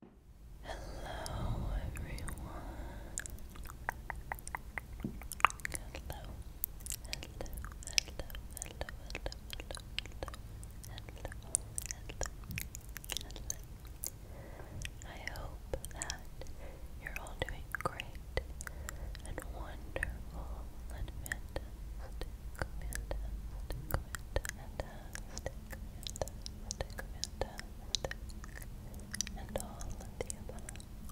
Hello, everyone. Hello, hello, hello, hello, hello, hello, hello, hello, hello. I hope that you're all doing great and wonderful and fantastic, fantastic, fantastic and all of the above,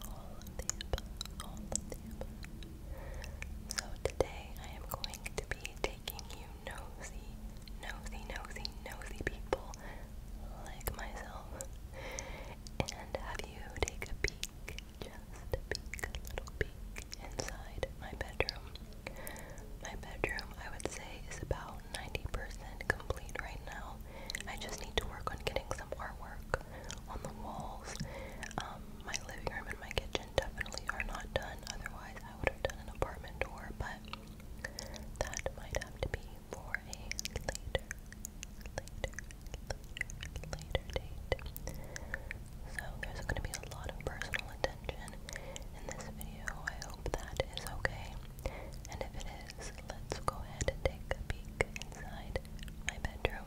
all of the above, all of the above. So today I am going to be taking you nosy, nosy, nosy, nosy people like myself, and have you take a peek, just a peek, a little peek inside my bedroom. My bedroom, I would say, is about 90% complete right now. I just need to work on getting some artwork on the walls. Um, my living room and my kitchen definitely are not done, otherwise, I would have done an apartment door, but that might have to be for a later, later, later, later date. So, there's going to be a lot of personal attention in this video. I hope that is okay. And if it is, let's go ahead and take a peek inside my bedroom.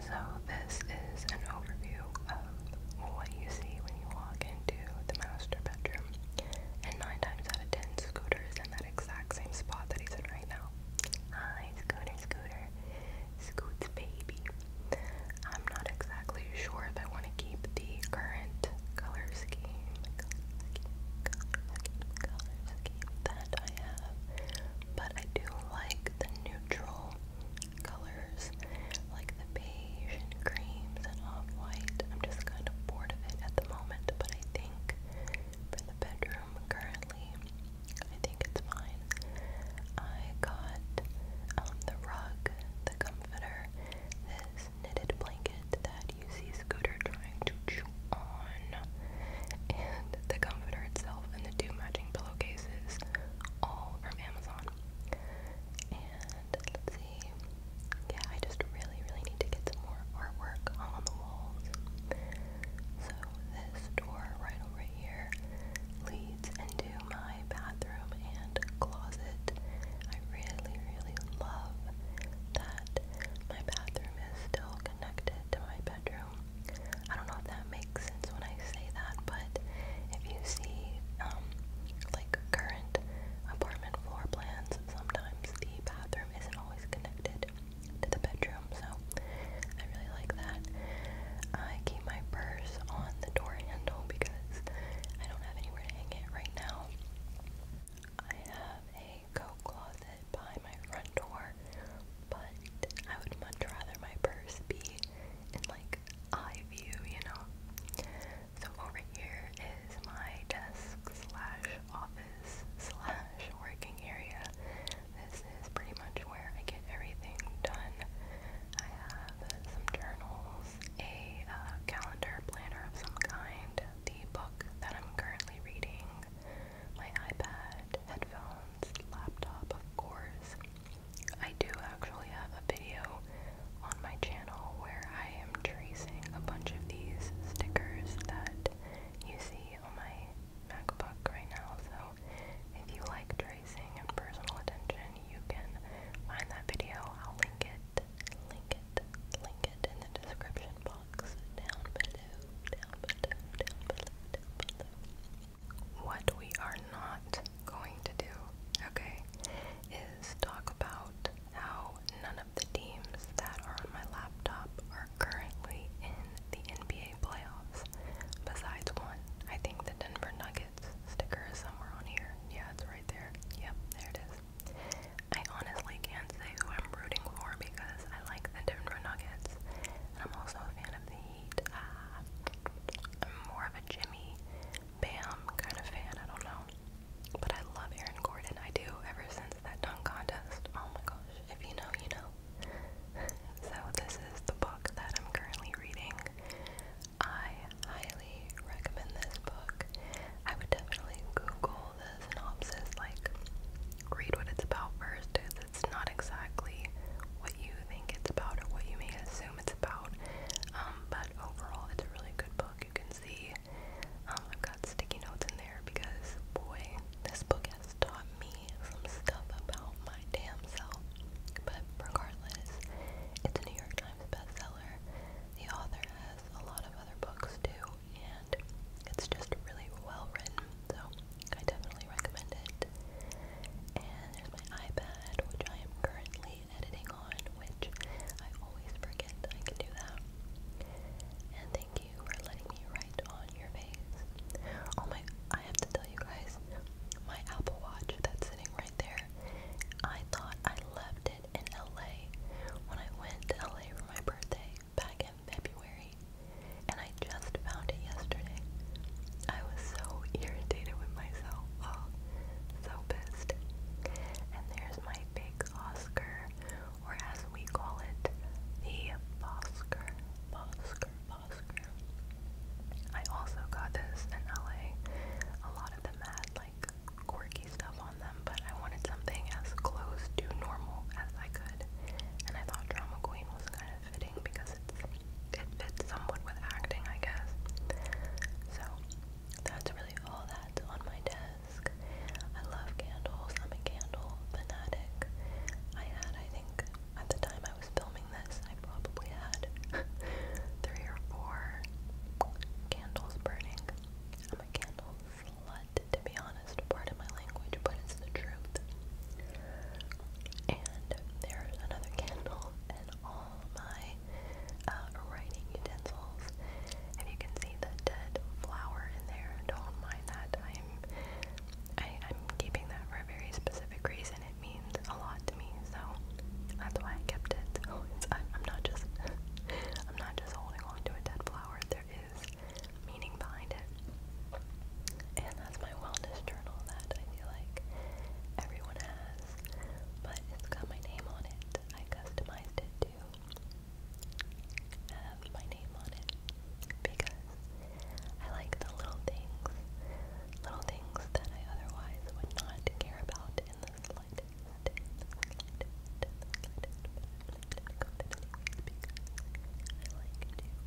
So, this is an overview of what you see when you walk into the master bedroom. And 9 times out of 10, Scooter is in that exact same spot that he's in right now. Hi, Scooter, Scooter. Scoot's baby. I'm not exactly sure if I want to keep the current color scheme, that I have, but I do like the neutral colors, like the beige and creams and off-white. I'm just kind of bored of it at the moment, but I think for the bedroom currently, I think it's fine. I got um, the rug, the comforter, this knitted blanket that you see Scooter trying to chew on, and the comforter itself, and the two matching pillowcases, all from Amazon. And let's see, yeah, I just really, really need to get some more artwork hung on the walls. So this door right over here leads leads into my bathroom and closet. I really, really love that my bathroom is still connected to my bedroom. I don't know if that makes sense when I say that, but if you see um, like current apartment floor plans, sometimes the bathroom isn't always connected to the bedroom, so I really like that. I keep my purse on the door handle because I don't have anywhere to hang it right now. I have a coat closet by my front door, but I would much rather my purse be in like eye view, you know. So over here is my desk slash office slash working area. This is pretty much where I get everything done. I have some journals a uh, calendar planner of some kind, the book that I'm currently reading, my iPad, headphones, laptop, of course. I do actually have a video on my channel where I am tracing a bunch of these stickers that you see on my MacBook right now. So if you like personal attention, you can find that video. I'll link it, link it, link it in the description box down below, down below, down below. What we are not going to do, okay, is talk about how none of the teams that are on my laptop are currently in the NBA playoffs, besides one. I think the Denver Nuggets Kids sticker is somewhere on here. Yeah, it's right there. Yep, there it is. I honestly can't say who I'm rooting for because I like the Denver Nuggets. And I'm also a fan of the Heat. Uh, I'm more of a Jimmy Bam kind of fan. I don't know. But I love Aaron Gordon. I do ever since that dunk contest. Oh my gosh. If you know, you know. so this is the book that I'm currently reading. I highly recommend this book. I would definitely Google the synopsis, like read what it's about first, because it's not exactly what you think it's about or what you may assume it's about. Um, but overall, it's a really good book. You can see um, I've got sticky notes in there because, boy, this book has taught me some stuff about my damn self. But regardless, it's a New York Times bestseller. The author has a lot of other books too, and it's just really well written, so I definitely recommend it. And there's my iPad, which I am currently editing on, which I always forget I can do that. And thank you for letting me write on your face. Oh my, I have to tell you guys, my Apple Watch that's sitting right there I thought I left it in LA when I went to LA for my birthday back in February, and I just found it yesterday. I was so irritated with myself. Oh, so pissed. And there's my big Oscar, or as we call it, the Oscar, Oscar, I also got this in LA. A lot of them had like quirky stuff on them, but I wanted something as close to normal as I could. And I thought Drama Queen was kind of fitting because it's, it fits somewhat with acting, I guess. So that's really all that's on my desk. I love candles. I'm a candle fanatic. I had, I think, at the time I was filming this, I probably had three or four candles burning. I'm a candle slut, to be honest, part of my language, but it's the truth. And there's another candle and all my uh, writing utensils. If you can see the dead flower in there, don't mind that. I'm I, I'm keeping that for a very specific reason means a lot to me, so that's why I kept it. Oh, I'm not just I'm not just holding on to a dead flower. There is meaning behind it, and that's my wellness journal that I feel like everyone has, but it's got my name on it. I customized it to have my name on it because I like the little things little things that I otherwise would not care about in the slightest. I like to, do things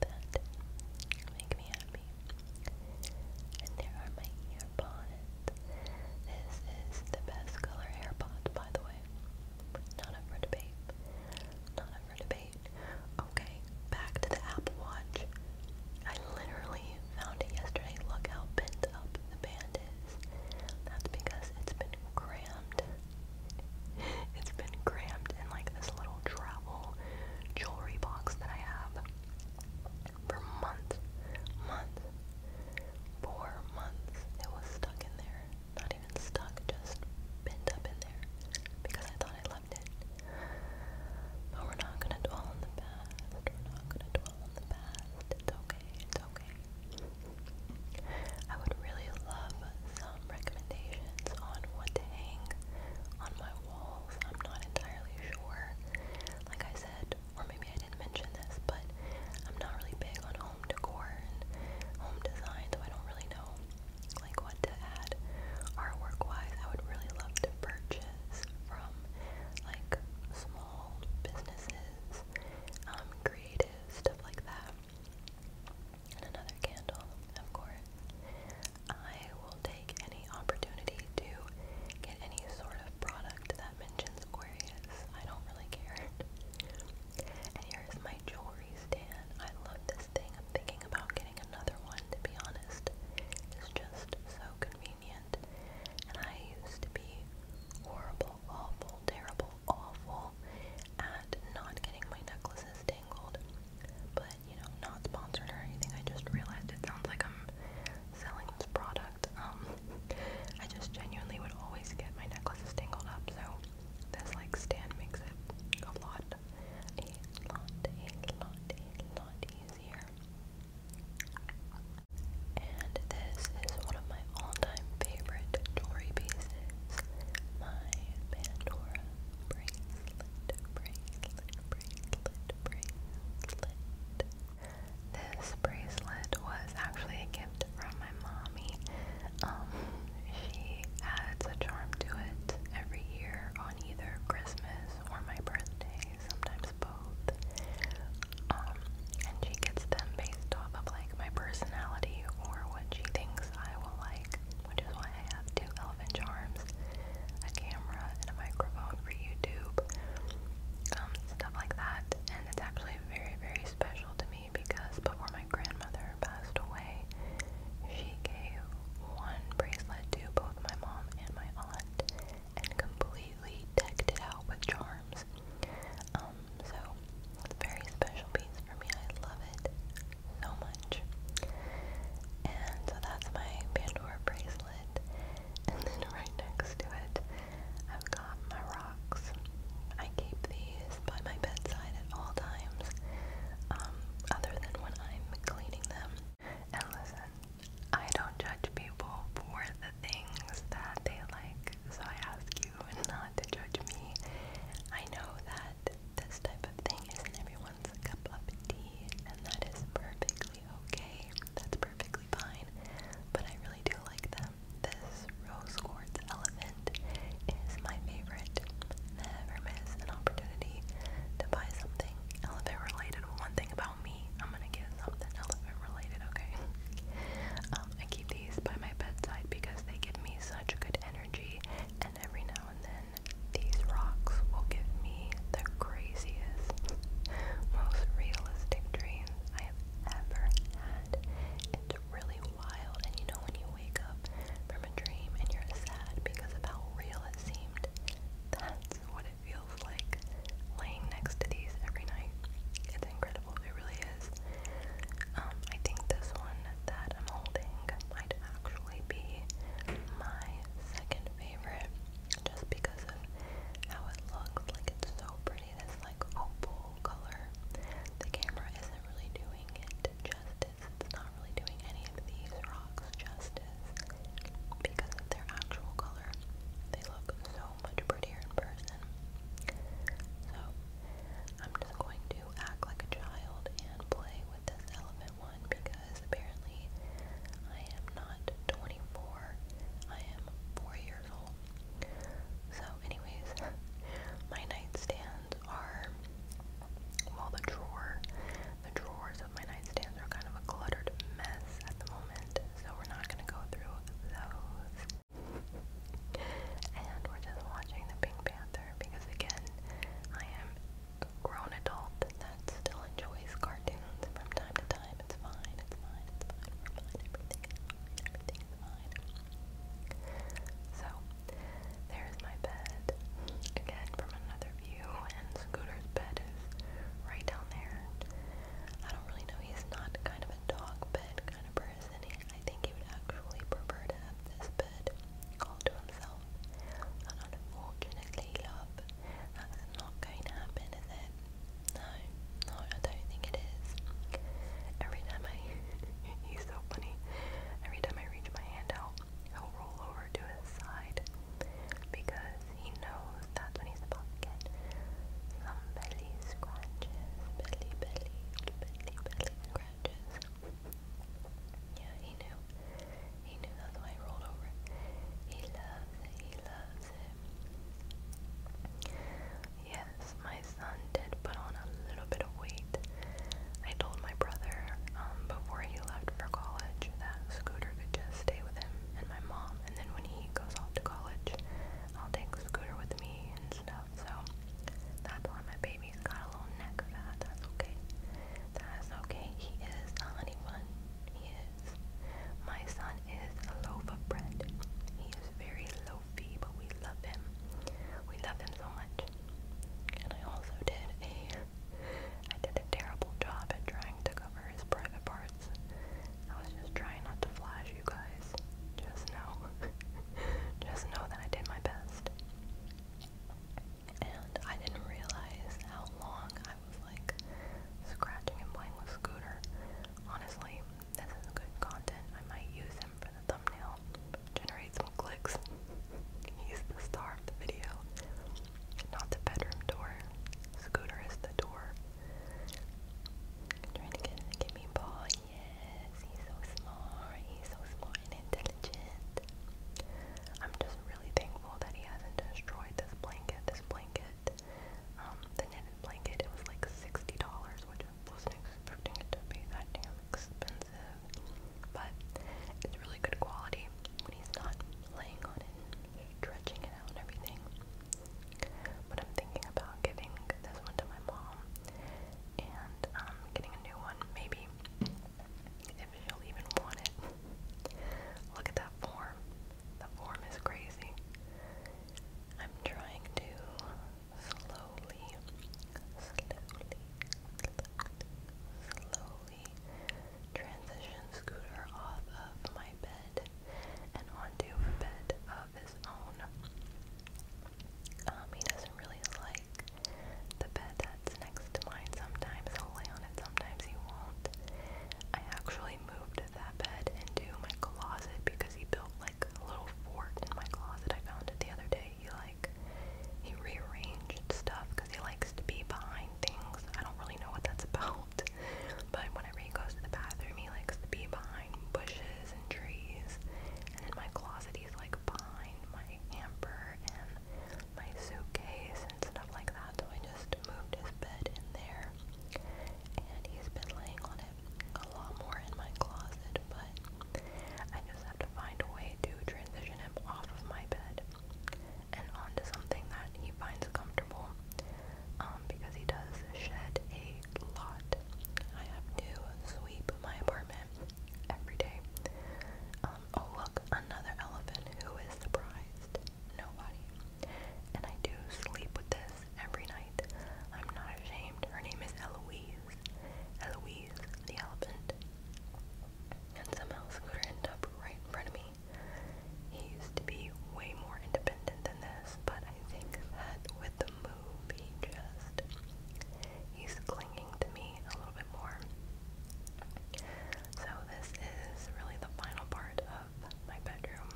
that make me happy. And there are my ear This is the best color AirPods, by the way. Not up for debate. Not up for debate. Okay, back to the Apple Watch. I literally found it yesterday. Look how bent up the band is. That's because it's been crammed. It's been crammed in like this little travel jewelry box that I have for months. Months. Four months. It was stuck in there not even stuck, just bent up in there because I thought I loved it. But we're not gonna dwell on the past. We're not gonna dwell on the past. It's okay. It's okay. I would really love some recommendations on what to hang on my walls. I'm not entirely sure. Like I said, or maybe I didn't mention this, but I'm not really big on home decor and home design, so I don't really know like what to add artwork-wise. I would really love to purchase from like small businesses, um, creative stuff like that. And another candle, of course. I will take any opportunity to get any sort of product that mentions Aquarius. I don't really care. And here's my my jewelry stand. I love this thing. I'm thinking about getting another one, to be honest. It's just so convenient. And I used to be horrible, awful, terrible, awful at not getting my necklaces tangled. But, you know, not sponsored or anything. I just realized it sounds like I'm selling this product. Um, I just genuinely would always get my necklaces tangled up, so this like stand makes it a lot, a lot, a lot, a lot easier. And this is one of my all-time favorite Tory pieces. My Pandora bracelet, bracelet, bracelet, bracelet. This bracelet was actually a gift from my mommy. Um, she adds a charm to it every year on either Christmas or my birthday, sometimes both. Um, and she gets them based off of like my personality or what she thinks I will like, which is why I have two elephant charms, a camera, and a microphone for YouTube, um, stuff like that. And it's actually very, very special to me because before my grandmother passed away, she gave one bracelet to both my mom and my aunt and completely decked it out with charms. Um, so very special piece for me. I love it so much. And so that's my Pandora bracelet. And then right next to it I've got my rocks. I keep these by my bedside at all times, um, other than when I'm cleaning them. And listen, I don't judge people for the things that they like, so I ask you not to judge me. I know that this type of thing isn't everyone's cup of tea, and that is perfectly okay. That's perfectly fine. But I really do like them, this rose quartz elephant is my favorite. Never miss an opportunity to buy something elephant related. One thing about me, I'm gonna get something elephant related, okay? Um, I keep these by my bedside because they give me such good energy, and every now and then, these rocks will give me the craziest, most realistic dreams I have ever had really wild. And you know, when you wake up from a dream and you're sad because of how real it seemed, that's what it feels like laying next to these every night. It's incredible, it really is. Um, I think this one that I'm holding might actually be my second favorite just because of how it looks. Like, it's so pretty this like opal color. The camera isn't really doing it justice. It's not really doing any of these rocks justice because of their actual color. They look so much prettier in person. So I'm just going to act like a child and play with this elephant one because apparently I am not 24. I am four years so, anyways, my nightstands are well, the drawer, the drawers of my nightstands are kind of a cluttered mess at the moment, so we're not gonna go through those. And we're just watching the Pink Panther because, again, I am grown adult that still enjoys cartoons from time to time. It's fine, it's fine, it's fine, everything is fine, everything is fine. So, there's my bed, again from another view, and Scooter's bed is right down there. I don't really know, he's not kind of a dog bed kind of person. I think he would actually prefer to have this bed all to himself. unfortunately, love, that's not going to happen, is it? No, no, I don't think it is. Every time I, he's so funny. Every time I reach my hand out, he'll roll over to his side because he knows that's when he's about to get some belly scratches, belly, belly, belly, belly scratches. Yeah, he knew. He knew that's why he rolled over. He loves He loves it. Yes, my son did put on a little bit of weight. I told my brother um, before he left for college that Scooter could just stay with him and my mom, and then when he goes off to college, I'll take Scooter with me and stuff. So that's why my baby's got a little neck fat. That's okay. That's okay. He is a honey bun. He is. My son is a loaf of bread. He is very low but we love him. We love him so much. And I also did a I did a terrible job at trying to cover his private parts. I was just trying not to flash you guys. Just know. just know that I did my best. And I didn't realize how long I was like scratching and playing with Scooter. Honestly, this is good content. I might use him for the thumbnail, generate some clicks. He's the star of the video. Not the bedroom door. Scooter is the door. Trying to get the gimme ball. Yes, he's so smart. He's so smart and intelligent. I'm just really thankful that he hasn't destroyed this blanket. This blanket um, the knitted blanket. It was like $60, which I wasn't expecting it to be that damn expensive. But it's really good quality when he's not laying on it and stretching it out and everything. But I'm thinking about giving this one to my mom and um, getting a new one, maybe if she'll even want it. Look at that form. The form is crazy. I'm trying to slowly, slowly, slowly, transition Scooter off of my bed and onto a bed of his own. Um, he doesn't really like the bed that's next to mine. Sometimes he'll lay on it, sometimes he won't. I actually moved that bed into my closet because he built like a little fort in my closet. I found it the other day. He like he rearranged stuff because he likes to be behind things. I don't really know what that's about, but whenever he goes to the bathroom, he likes to be behind bushes and trees. And in my closet, he's like behind my hamper and my suitcase and stuff like that. So I just moved his bed in there. And he's been laying on it a lot more in my closet, but I just have to find a way to transition him off of my bed and onto something that he finds comfortable um, because he does shed a lot. I have to sweep my apartment every day. Um, oh look, another elephant who is surprised. Nobody and I do sleep with this every night. I'm not ashamed. Her name is Eloise. Eloise, the elephant. And somehow Scooter ended up right in front of me. He used to be way more independent than this, but I think that with the move, he just, he's clinging to me a little bit more. So this is really the final part of my bedroom.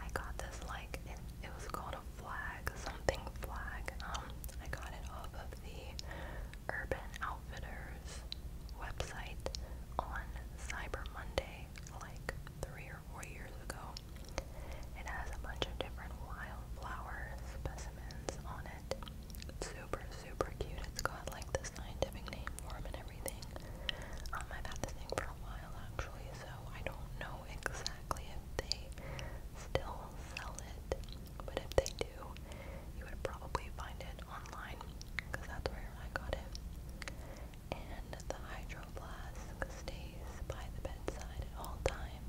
I got this like it, it was called a flag, something flag. Um, I got it off of the Urban Outfitters website on Cyber Monday, like three or four years ago. It has a bunch of different wildflower specimens on it. It's super, super cute. It's got like the scientific name for them and everything. Um, I've had this thing for a while actually, so I don't know exactly if they still sell it, but if they do, you would probably find it online that's where I got it. And the Hydro Flask stays by the bedside at all time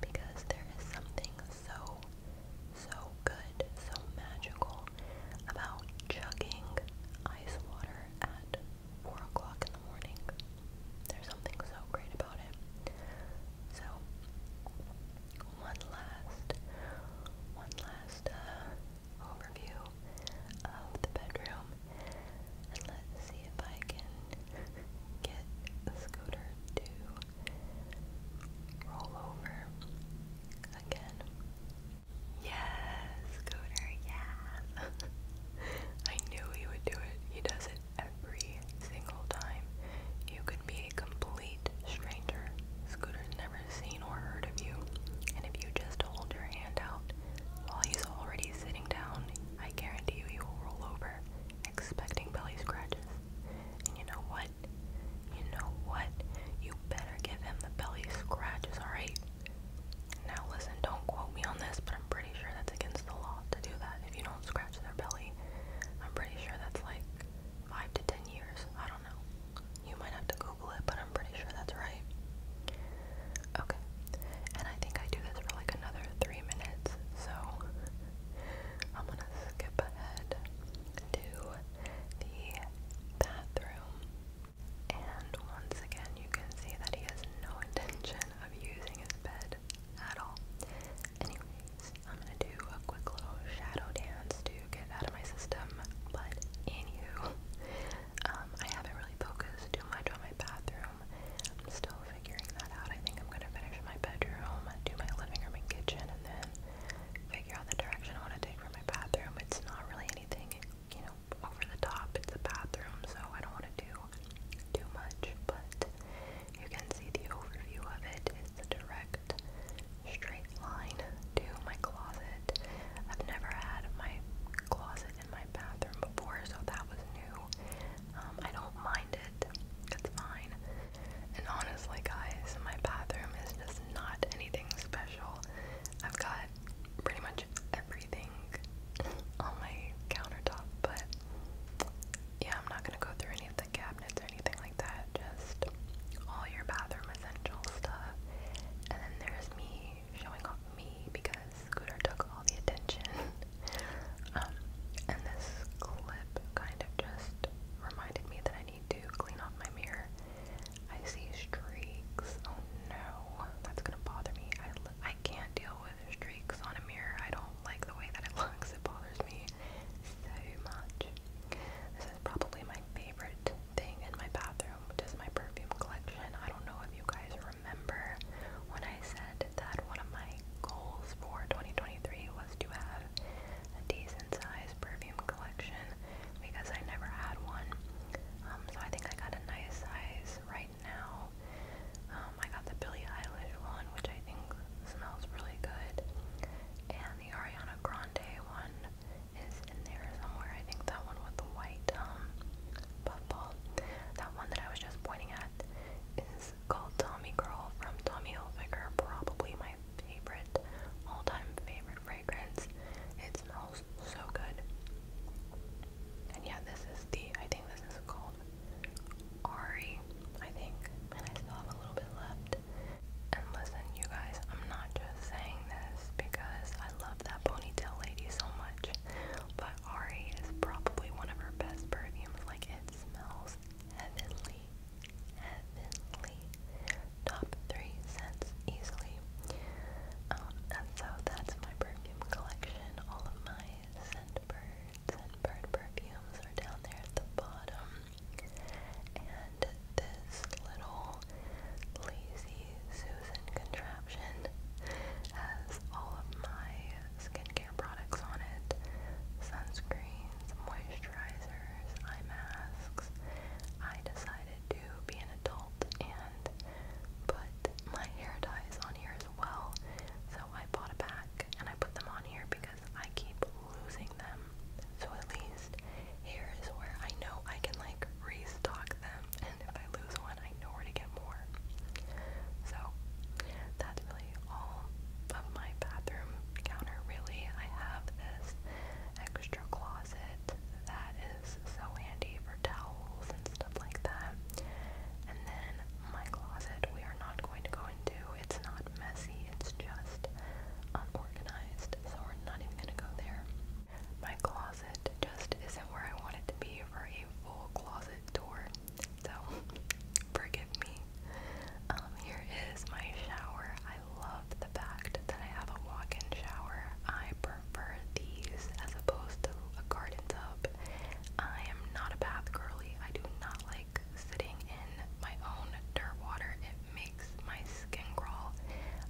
because there is something so, so good, so magical about chugging ice water at 4 o'clock in the morning. There's something so great about it. So, one last, one last uh, overview of the bedroom, and let's see if I can get the scooter to roll over again. Yes, Coder, yes. I knew he would do it. He does it every single time. You could be a complete stranger. Scooter's never seen or heard of you. And if you just hold your hand out while he's already sitting down, I guarantee you he will roll over, expecting belly scratches. And you know what? You know what? You better give him the belly scratches, alright? Now listen, don't quote me on this, but I'm pretty sure that's against the law to do that. If you don't scratch their belly, I'm pretty sure that's like five to ten years. I don't know. You might have to Google it, but I'm pretty sure that's right. Okay. And I think I do this for like another three minutes, so I'm gonna skip ahead to the bathroom and once again, you can see that he has no intention of using his bed at all. Anyways, I'm gonna do a quick little shadow dance to get out of my system, but anywho, um, I haven't really focused too much on my bathroom. I'm still figuring that out. I think I'm gonna finish my bedroom, do my living room and kitchen, and then figure out the direction I want to take for my bathroom. It's not really anything, you know, over the top. It's a bathroom, so I don't want to do too much, but you can see the overview of it. It's a direct straight line to my closet. I've never had my closet in my bathroom before, so that was new. Um, I don't mind it. It's fine. And honestly, guys, my bathroom is just not anything special. I've got pretty much everything on my countertop, but yeah, I'm not gonna go through any of the cabinets or anything like that. Just all your bathroom essential stuff. And then there's me showing off me because Scooter took all the attention. Um, and this clip kind of just reminded me that I need to clean off my mirror. I see streaks. Oh no, that's gonna bother me. I, I can't deal with streaks on a mirror. I don't like the way that it looks. It bothers me so much. This is probably my favorite thing in my bathroom, which is my perfume collection. I don't know if you guys remember when I said that one of my goals for 2023 was to have a decent sized perfume collection because I never had one. Um, so I think I got a nice size right now. Um, I got the Billie Eilish one, which I think smells really good, and the Ariana Grande one is in there somewhere. I think that one with the white um, puffball. That one that I was just pointing at is called Tommy Girl from Tommy Hilfiger, probably my favorite all-time favorite fragrance. It smells so good. And yeah, this is the, I think this is called Ari, I think. And I still have a little bit left. And listen, you guys, I'm not just saying this because I love that ponytail lady so much, but Ari is probably one of her best perfumes. Like, it smells heavenly. Heavenly top three scents easily. Um, and so that's my perfume collection. All of my scent birds and bird perfumes are down there at the bottom. And this little lazy Susan contraption has all of my skincare products on it. Sunscreens, moisturizers, eye masks. I decided to be an adult and put my hair ties on here as well. So I bought a pack and I put them on here because I keep losing them. So at least here is where I know I can like restock them and if I lose one I know where to get more. So that's really all of my bathroom counter really. I have this extra closet closet that is so handy for towels and stuff like that. And then my closet we are not going to go into. It's not messy, it's just unorganized, so we're not even gonna go there. My closet just isn't where I want it to be for a full closet tour. So forgive me. Um, here is my shower. I I love the fact that I have a walk-in shower. I prefer these as opposed to a garden tub. I am not a bath girly. I do not like sitting in my own dirt water. It makes my skin crawl.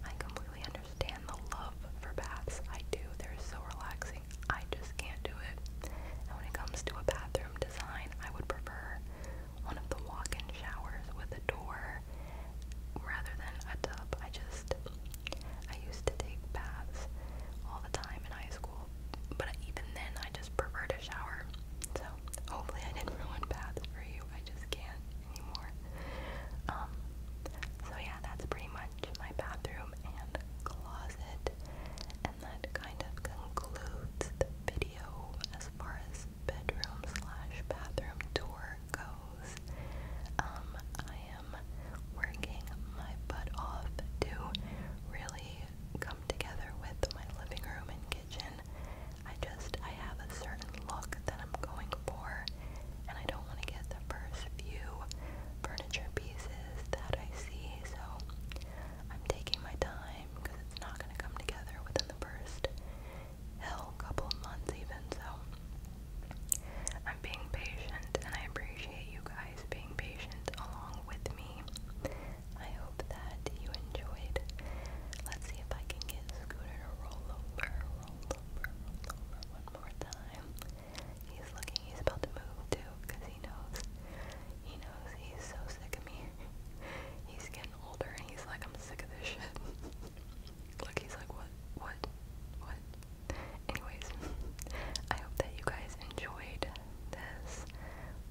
I completely understand the love for baths. I do. They're so relaxing. I just can't do it. when it comes to a bathroom design, I would prefer one of the walk-in showers with a door rather than a tub. I just, I used to take baths all the time in high school, but even then I just prefer a shower. So hopefully I didn't ruin baths for you. I just can't anymore. Um, so yeah, that's pretty much my bathroom and closet, and that kind of concludes the video as far as bedroom slash bathroom tour goes. Um, I am working my butt off to really come together with my living room and kitchen. I just, I have a certain look that I'm going for, and I don't want to get the first few furniture pieces that I see, so I'm taking my time because it's not going to come together within the first hill, couple months even, so I'm being patient and I appreciate you guys being patient along with me. I hope that you enjoyed. Let's see if I can get Scooter to roll over, roll over, roll over one more time. He's looking, he's about to move too, because he knows, he knows he's so sick of me. He's getting older and he's like, I'm sick of this shit. Look, he's like, what, what, what? Anyways, I hope that you guys enjoyed this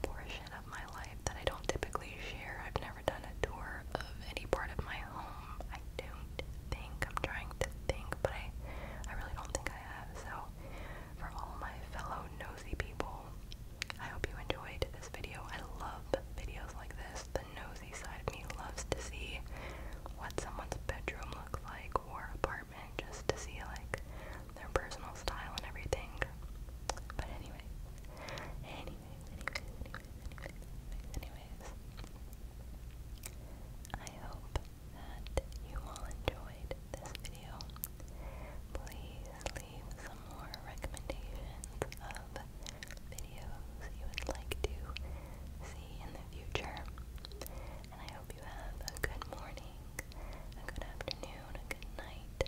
portion of my life that I don't typically share. I've never done a tour of any part of my home. I don't think. I'm trying to think, but I, I really don't think I have. So, for all my fellow nosy people, I hope you enjoyed this video. I love videos like this. The nosy side of me loves to see what someone's bedroom looks like or apartment just to see like their personal style and everything. But anyway, anyways, anyways, anyways, anyways, I hope that you all enjoyed this video. Please leave some more recommendations of videos you would like to see in the future. And I hope you have a good morning, a good afternoon, a good night,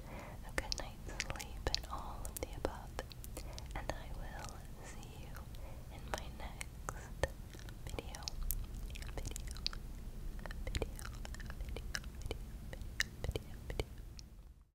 a good night's sleep, and all of the above. And I will see you in my next video. Video. Video. Video. Video. Video. Video. video.